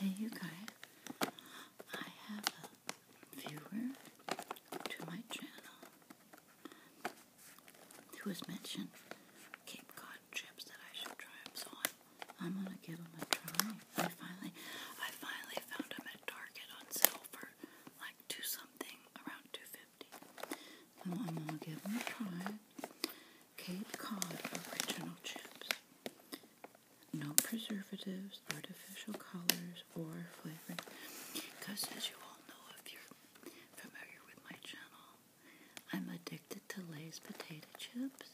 Hey, you guys, I have a viewer to my channel who was mentioned Cape Cod chips that I should try so I'm, gonna give them a try. I finally, I finally found them at Target on sale for like two something, around two fifty. I'm gonna give them a try. Cape Cod original chips. No preservatives, artificial colors, or flavors. Because as you all know, if you're familiar with my channel, I'm addicted to Lay's potato chips,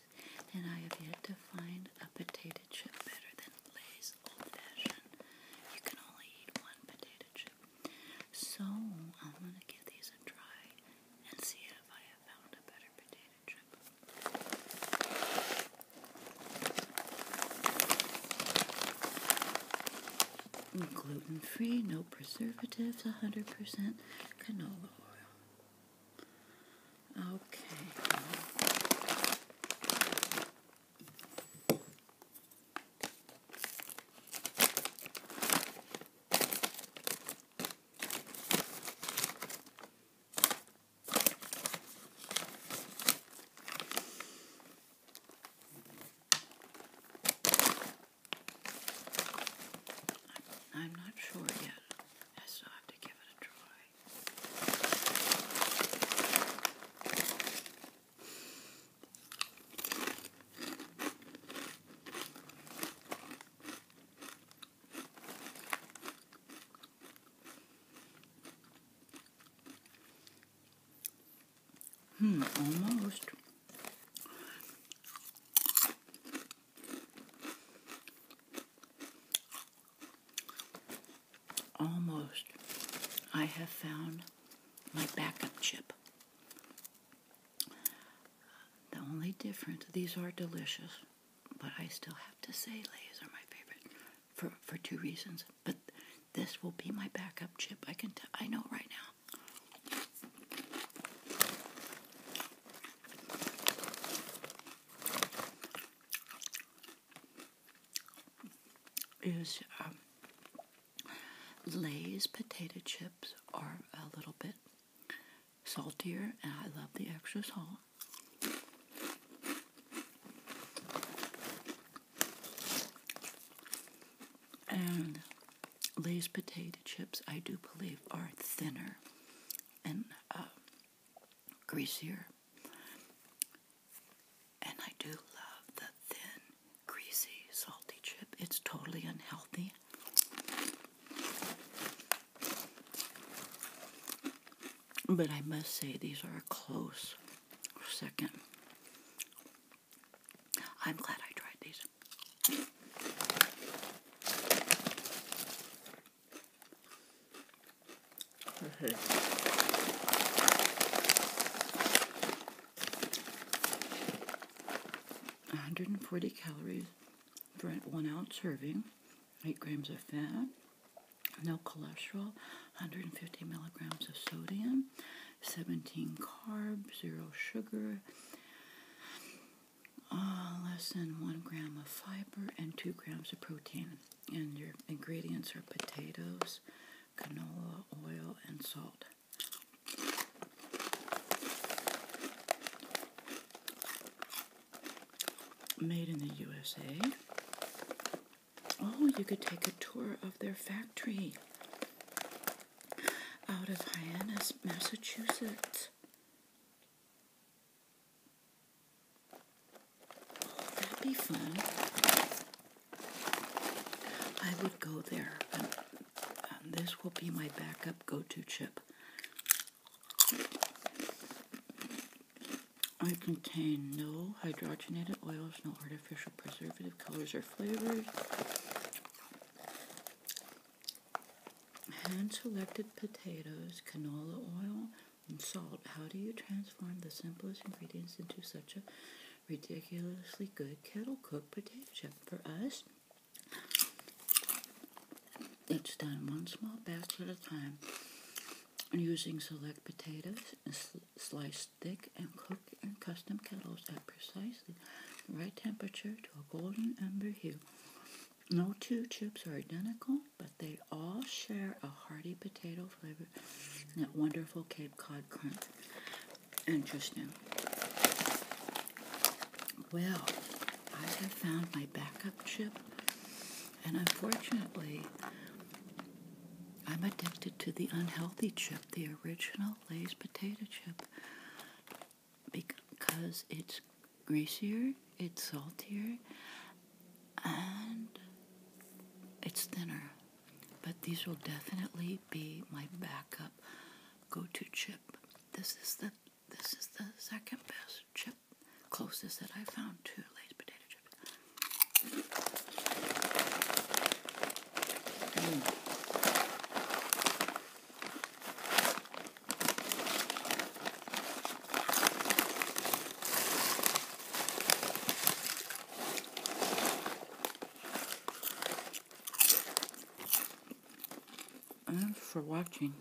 and I have yet to find a potato chip better than Lay's Old Fashioned. You can only eat one potato chip. So I'm going to give these a try and see if I have found a better potato chip. Gluten free, no preservatives, 100% canola oil. Okay. I'm, not sure yet. I still have to give it a try. Hmm, almost. Almost. I have found my backup chip. The only difference, these are delicious, but I still have to say Lay's are my favorite for, for two reasons. But this will be my backup chip. I can t- I know right now is um, Lay's potato chips are a little bit saltier, and I love the extra salt. And Lay's potato chips, I do believe, are thinner and uh, greasier. And I do love the thin, greasy, salty chip. It's totally unhealthy. But I must say, these are a close second. I'm glad I tried these. One hundred and forty calories for one ounce serving, eight grams of fat, no cholesterol, one hundred and fifty milligrams of sodium, 17 carbs, zero sugar, uh, less than one gram of fiber, and two grams of protein. And your ingredients are potatoes, canola oil, and salt. Made in the USA. Oh, you could take a tour of their factory out of Hyannis, Massachusetts. Oh, that'd be fun. I would go there. Um, um, this will be my backup go-to chip. I contain no hydrogenated oils, no artificial preservative colors or flavors. Hand-selected potatoes, canola oil, and salt. How do you transform the simplest ingredients into such a ridiculously good kettle-cooked potato chip? For us, it's done one small batch at a time using select potatoes, sliced thick and cook in custom kettles at precisely the right temperature to a golden amber hue. No two chips are identical, but they all share a hearty potato flavor and that wonderful Cape Cod crunch. Interesting. Well, I have found my backup chip and unfortunately, I'm addicted to the unhealthy chip, the original Lay's potato chip, because it's greasier, it's saltier, and it's thinner. But these will definitely be my backup go-to chip. This is the this is the second best chip, closest that I found to Lay's potato chip. Mm. for watching.